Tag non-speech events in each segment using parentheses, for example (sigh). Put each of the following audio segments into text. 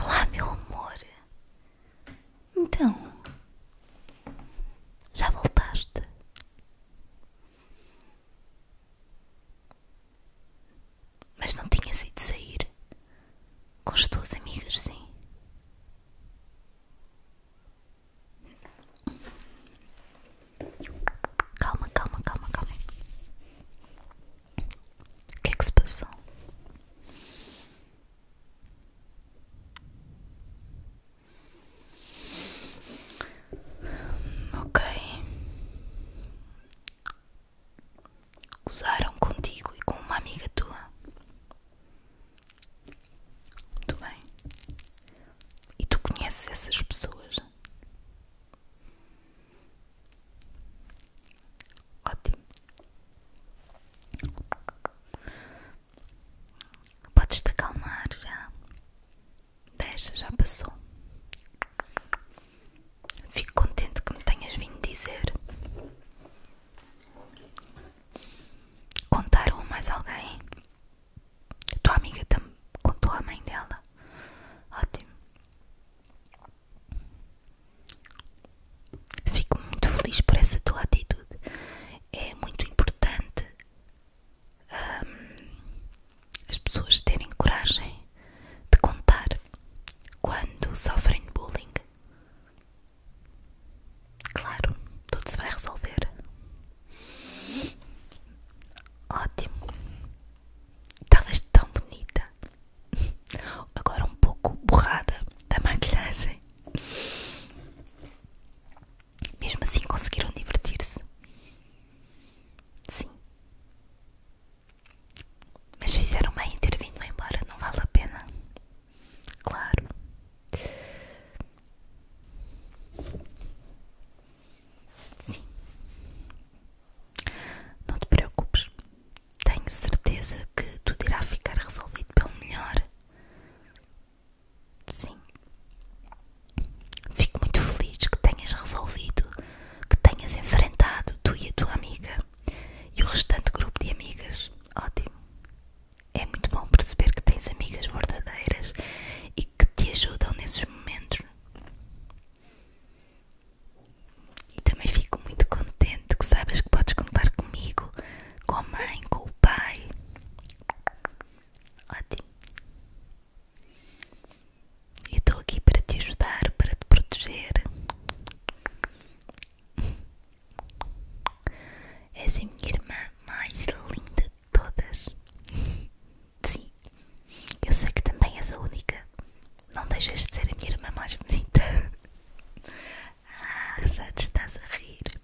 olá, meu amor. Então, já voltaste? Mas não tinhas ido sair com as tuas amigas, sim? Calma, calma, calma, calma. O que é que se passou? Ok. Usaram contigo e com uma amiga tua. Muito bem. E tu conheces essas pessoas? Ótimo. Podes te acalmar já. Deixa, já passou. Fico contente que me tenhas vindo dizer. Contaram a mais alguém? Tua amiga também contou a mãe dela. Ótimo. Fico muito feliz por essa tua atitude. É muito importante hum, as pessoas terem coragem de contar quando sofrem de bullying. Claro, tudo se vai resolver. Ótimo. Estavas tão bonita. Agora um pouco borrada da maquilhagem. Mesmo assim conseguiram divertir-se. Sim. Mas fizeram bem em ter vindo é embora, não vale a pena. Claro. Sim. Não te preocupes. Tenho certeza que tudo irá ficar resolvido pelo melhor. Sim. Fico muito feliz que tenhas resolvido, que tenhas enfrentado tu e a tua amiga e o restante grupo de amigas. Ótimo. É muito bom perceber que tens amigas verdadeiras e que te ajudam nesses momentos. E também fico muito contente que saibas que podes contar comigo, com a mãe, com o pai. Ótimo. Eu estou aqui para te ajudar, para te proteger. És a minha irmã mais linda todas. Sim, eu sei que também és a única. Não deixas de ser a minha irmã mais bonita. Ah, já te estás a rir.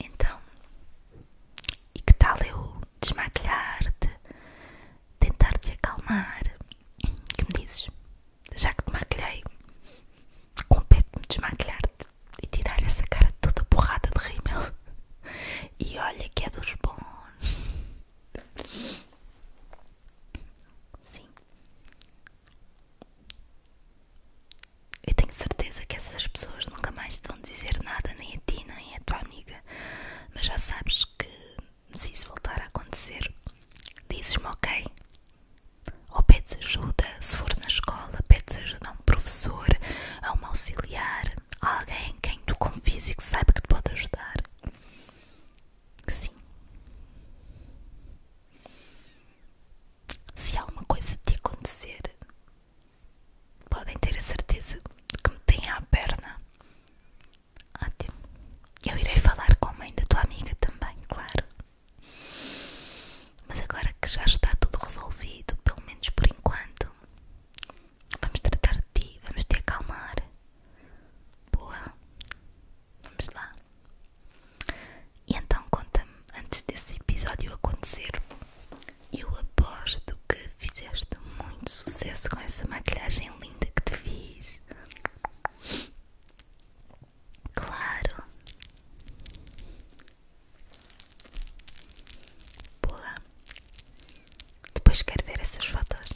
Então, e que tal eu desmaquilhar-te, tentar-te acalmar? Que me dizes? Já que te maquilhei, compete-me desmaquilhar-te e tirar essa cara toda borrada de rímel. E olha que é dos bons. Sim. Eu tenho certeza que essas pessoas nunca mais te vão dizer nada, nem a ti, nem a tua amiga. Mas já sabes que se isso voltar a acontecer, dizes-me ok, ou pedes ajuda, se for na escola, pedes ajuda a um professor, a um auxiliar, a alguém quem tu confies e que saiba que te pode ajudar. Sim. Se alguma coisa te acontecer, podem ter a certeza que me têm à perna. Ótimo. Eu irei falar com a mãe da tua amiga também, claro. Mas agora que já está tudo resolvido, pelo menos por enquanto, vamos tratar de ti, vamos te acalmar. Boa, vamos lá. E então conta-me, antes desse episódio acontecer, eu aposto que fizeste muito sucesso com essa maquilhagem linda que te fiz. Claro, Boa. Depois quero ver essas fotos.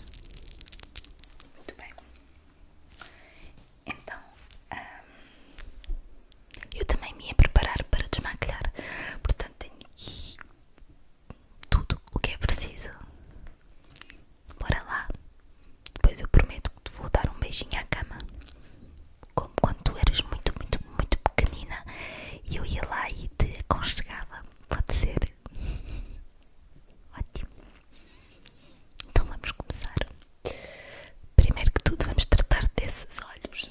Muito bem. Então, eu também me ia preparar para desmaquilhar. Portanto, tenho aqui tudo o que é preciso. Bora lá. Depois eu prometo que vou dar um beijinho à cama como quando eras muito, muito, muito pequenina e eu ia lá e te aconchegava. Pode ser? (laughs) Ótimo. Então vamos começar. Primeiro que tudo, vamos tratar desses olhos.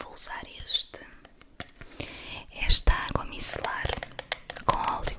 Vou usar este, esta água micelar com óleo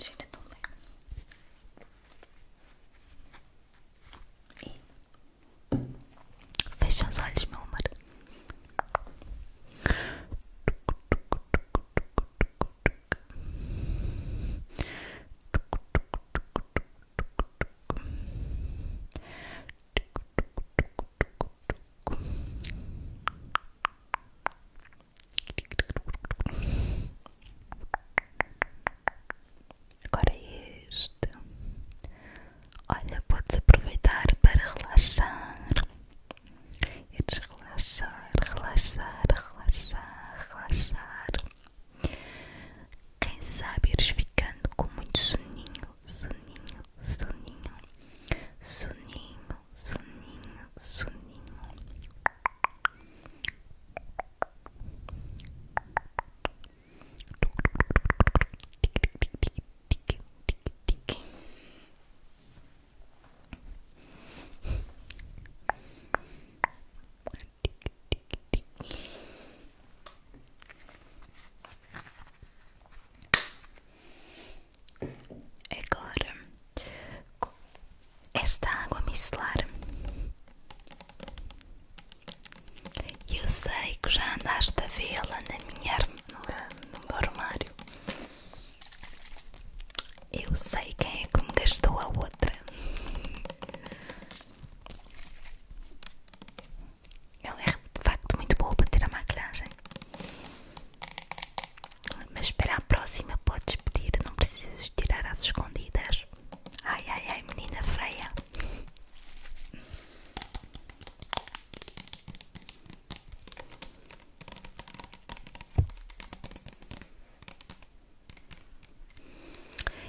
Cheira tão bem. E fecha os olhos, meu amor. Agora é este, olha, podes aproveitar para relaxar é e relaxar, relaxar, relaxar, relaxar. Quem sabe eles ficando com muito soninho, soninho, soninho, soninho, soninho, soninho. Agora, com esta água micelar, eu sei que já andaste a vê-la na minha no, no meu armário. Eu sei quem é que me gastou a outra. Ela é de facto muito bom para ter a maquilhagem. Mas para a próxima podes pedir, não precisas tirar as escondidas. Ai ai ai, menina feia.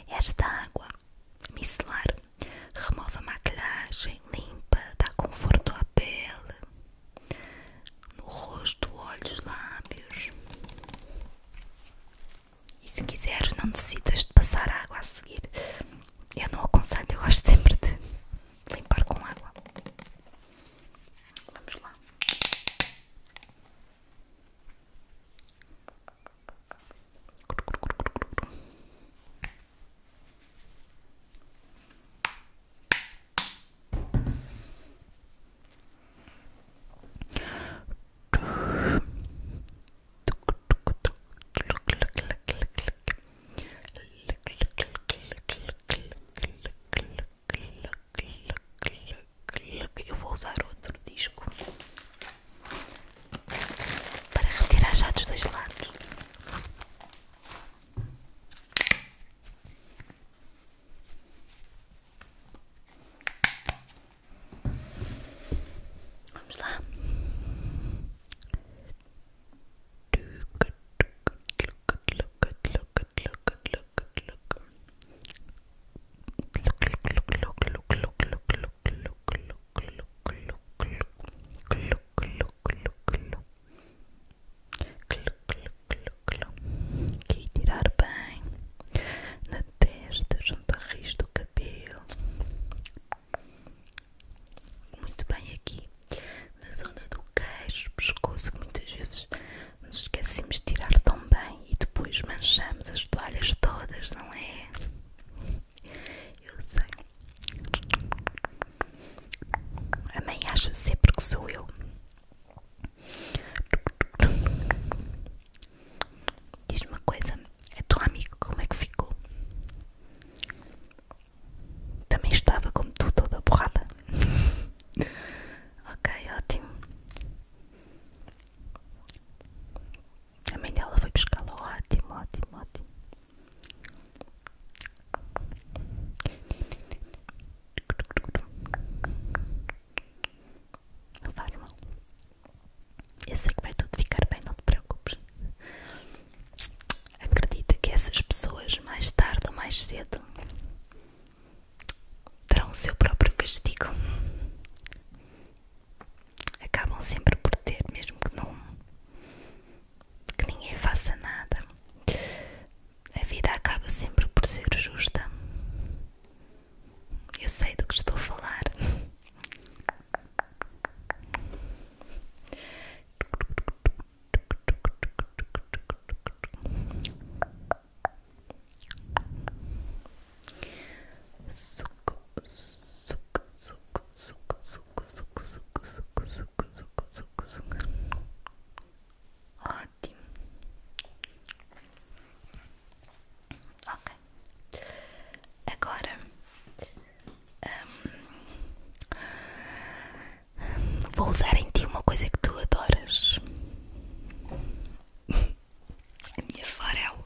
Esta água micelar remove a maquilhagem, limpa, dá conforto à pele, no rosto, olhos, lábios. E se quiseres, não necessitas de passar água a seguir. Eu não aconselho, eu gosto sempre de limpar com água. Vamos lá. Eu vou usar outro disco para retirar já dos dois lados. Vamos lá. Look, look, look, look, look, look, look, look, look, que tirar bem na testa, junto à raiz do cabelo. Muito bem aqui na zona do queixo, pescoço que muitas vezes nos esquecemos de tirar tão bem e depois manchamos as toalhas todas, não é? Eu sei. A mãe acha sempre que sou eu. Diz-me uma coisa, a tua amiga como é que ficou? Também estava como tu toda borrada. (laughs) ok, ótimo. A mãe dela foi buscá-la. Ótimo, ótimo, ótimo. Não faz mal. Eu sei que vai tudo ficar bem, não te preocupes. Acredita que essas pessoas, mais tarde ou mais cedo, terão o seu próprio castigo acabam sempre por ter, mesmo que não que ninguém faça nada. A vida acaba sempre por ser justa. Eu sei do que estou a falar suco, suco, suco, suco, suco, suco, suco, suco, suco, suco, suco, suco. Ótimo. Ok. Agora um, vou usar em ti uma coisa que tu adoras. A minha farel.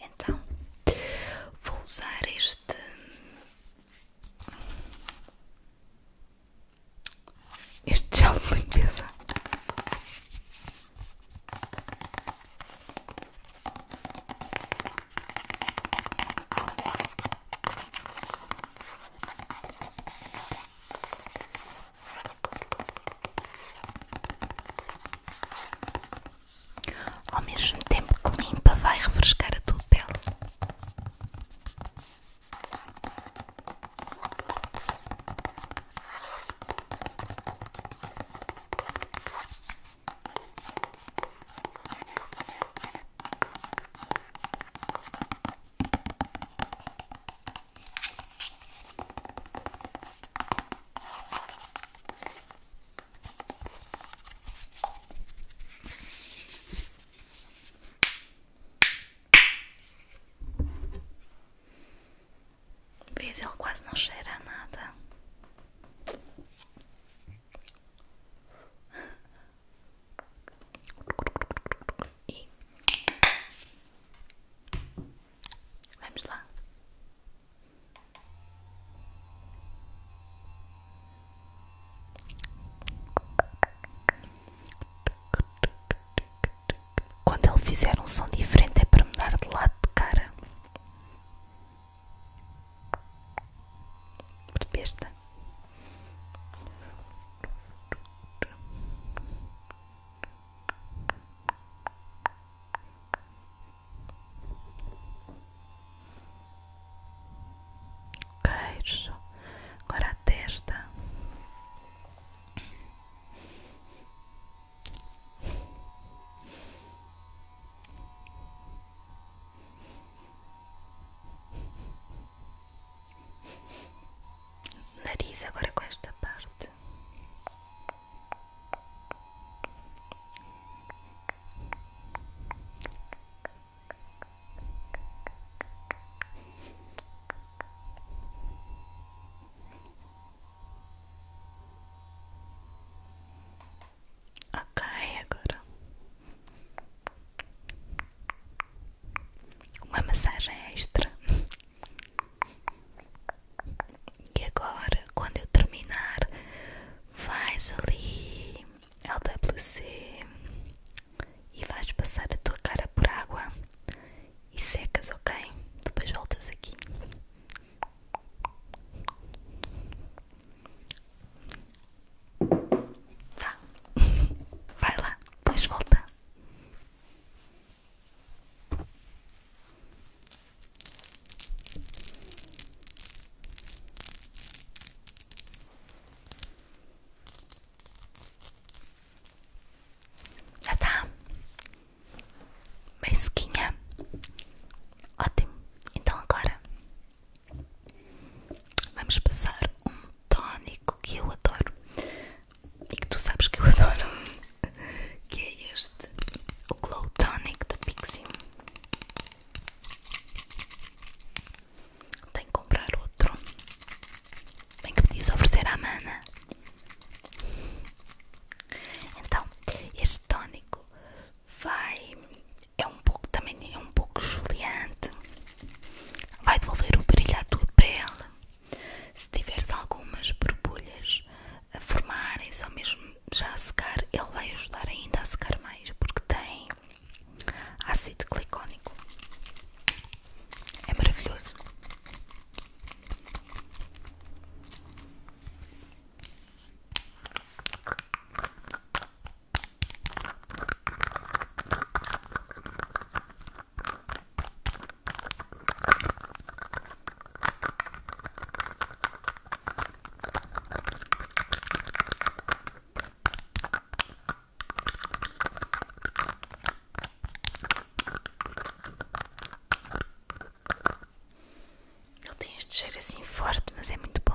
Então, vou usar este este gel de limpeza. Ao mesmo tempo que limpa, vai refrescar a tua pele vez ele quase não cheira a nada. (laughs) Vamos lá. Quando ele fizer um som diferente é para mudar de lado de cara. Percebeste? queixo, agora a testa. Nariz agora com esta parte. Ok, agora uma massagem extra. E agora, quando eu terminar, vais ali ao WC e vais passar a tua cara por água e secas, ok? Depois voltas aqui. Vá, (laughs) vai lá, depois volta. Já tá mesquinha. Ótimo. Então agora vamos passar um tónico que eu adoro e que tu sabes que eu (laughs) adoro, que é este, o Glow Tonic da pixi Tenho que comprar outro. Bem que podias oferecer à mana. Então, este tónico vai. É um pouco também, é um pouco esfoliante. Vai devolver o brilho à tua pele. Se tiveres algumas borbulhas a formarem só mesmo já a secar, ele vai ajudar ainda a secar mais porque tem ácido glicónico. É maravilhoso. Ele tem este cheiro assim forte, mas é muito bom.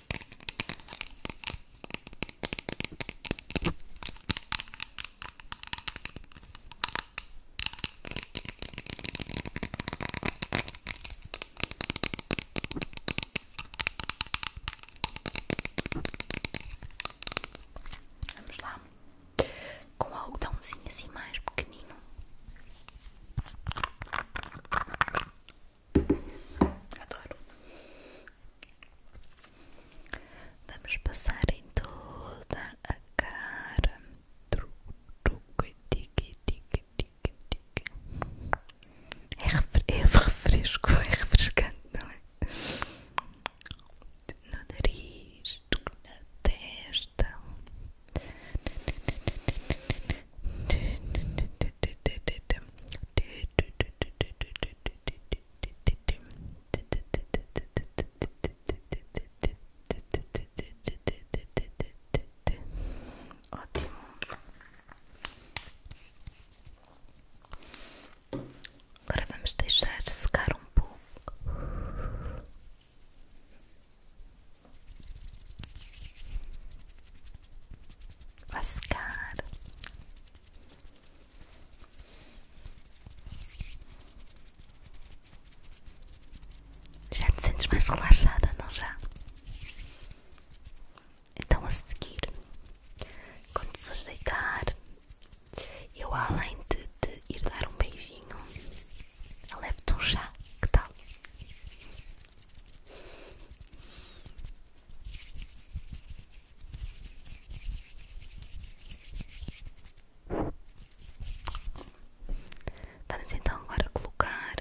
Vamos lá com algodãozinho assim mais pequenino. Adoro. Vamos passar em então, toda a cara. É, refre é refresco, é refrescante, não é? No nariz, na testa. Ótimo. Agora vamos deixar secar um pouco. Vascar. Já te sentes mais relaxada, não já? Então a seguir, quando vos deitar, eu além de, te ir dar um beijinho, levo-te um chá, que tal? Vamos então agora colocar.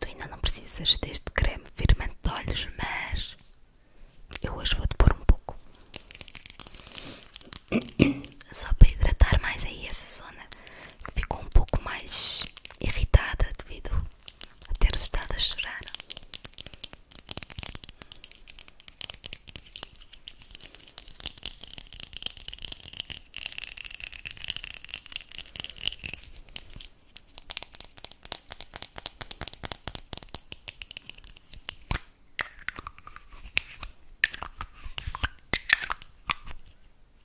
Tu ainda não precisas deste creme firmante de olhos, mas eu hoje vou-te pôr um pouco só para hidratar mais aí essa zona que ficou um pouco mais irritada devido a ter estado a chorar.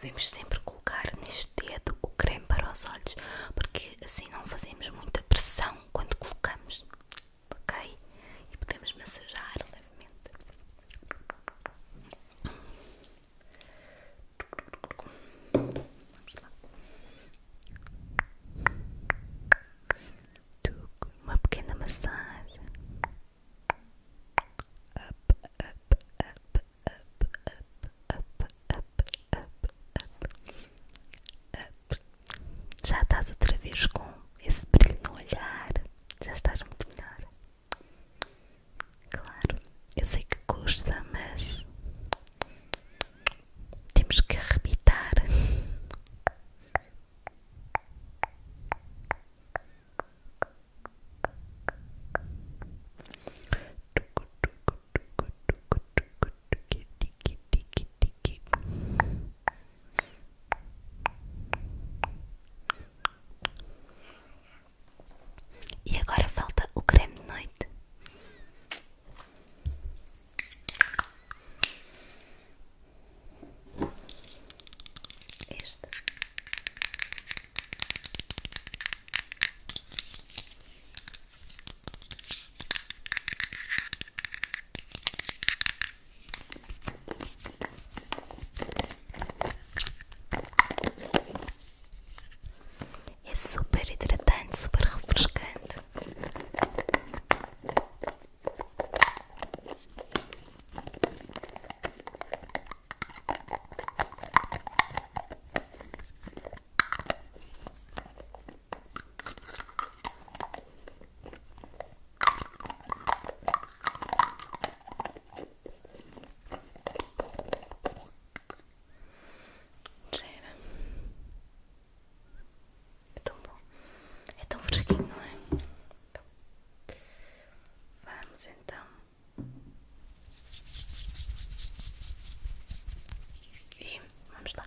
Devemos sempre colocar neste dedo o creme para os olhos, porque assim não fazemos muita pressão quando colocamos, ok? E podemos massajar levemente. Vamos lá. Uma pequena massagem. up, up, up, up, up, up, up, up. Já estás outra vez com esse brilho no olhar. Já estás muito melhor. Claro, eu sei que custa, mas temos que arrebitar. E agora falta o creme de noite. É super hidratante, super refrescante. Cheira. É tão bom. É tão fresquinho, não é? Então, vamos então. E vamos lá.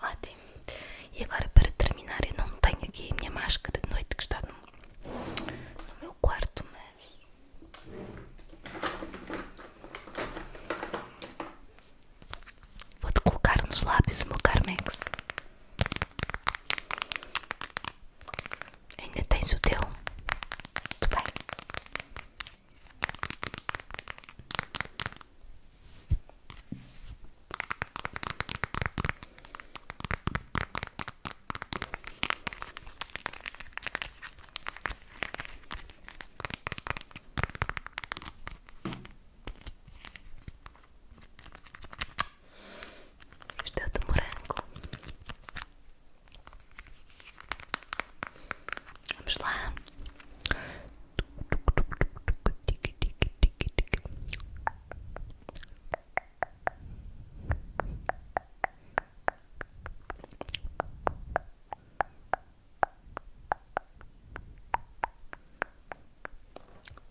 Ótimo. E agora para terminar, eu não tenho aqui a minha máscara de noite que está no, meu quarto, mas Vou-te colocar nos lábios o meu Carmex. Ainda tens o teu? Muito bem. Estou de morango. Vamos lá. Tic, tic, tic, tic, tic, tic, tic, tic,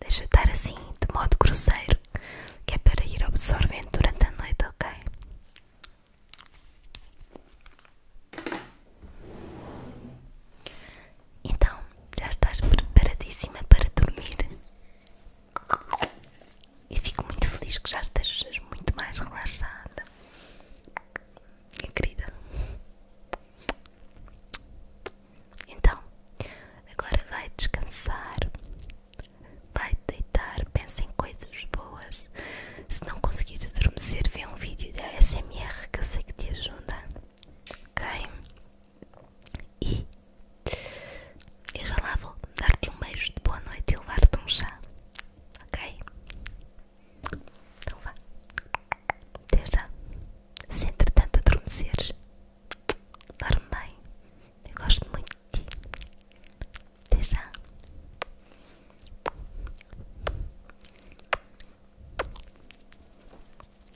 Deixa estar assim, de modo grosseiro, que é para ir absorvendo durante a noite, ok? Então, já estás preparadíssima para dormir? E fico muito feliz que já estejas muito mais relaxada, minha querida. Então, agora vai descansar, Vai deitar, pensa em coisas boas. Se não conseguires adormecer, vê um vídeo da SMR que eu sei que te ajuda. Ok? E eu já lá vou dar-te um beijo de boa noite e levar-te um chá. Ok? Então vá. Até já. Se entretanto adormeceres, Dorme bem. Eu gosto muito de ti. já.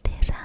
Até já.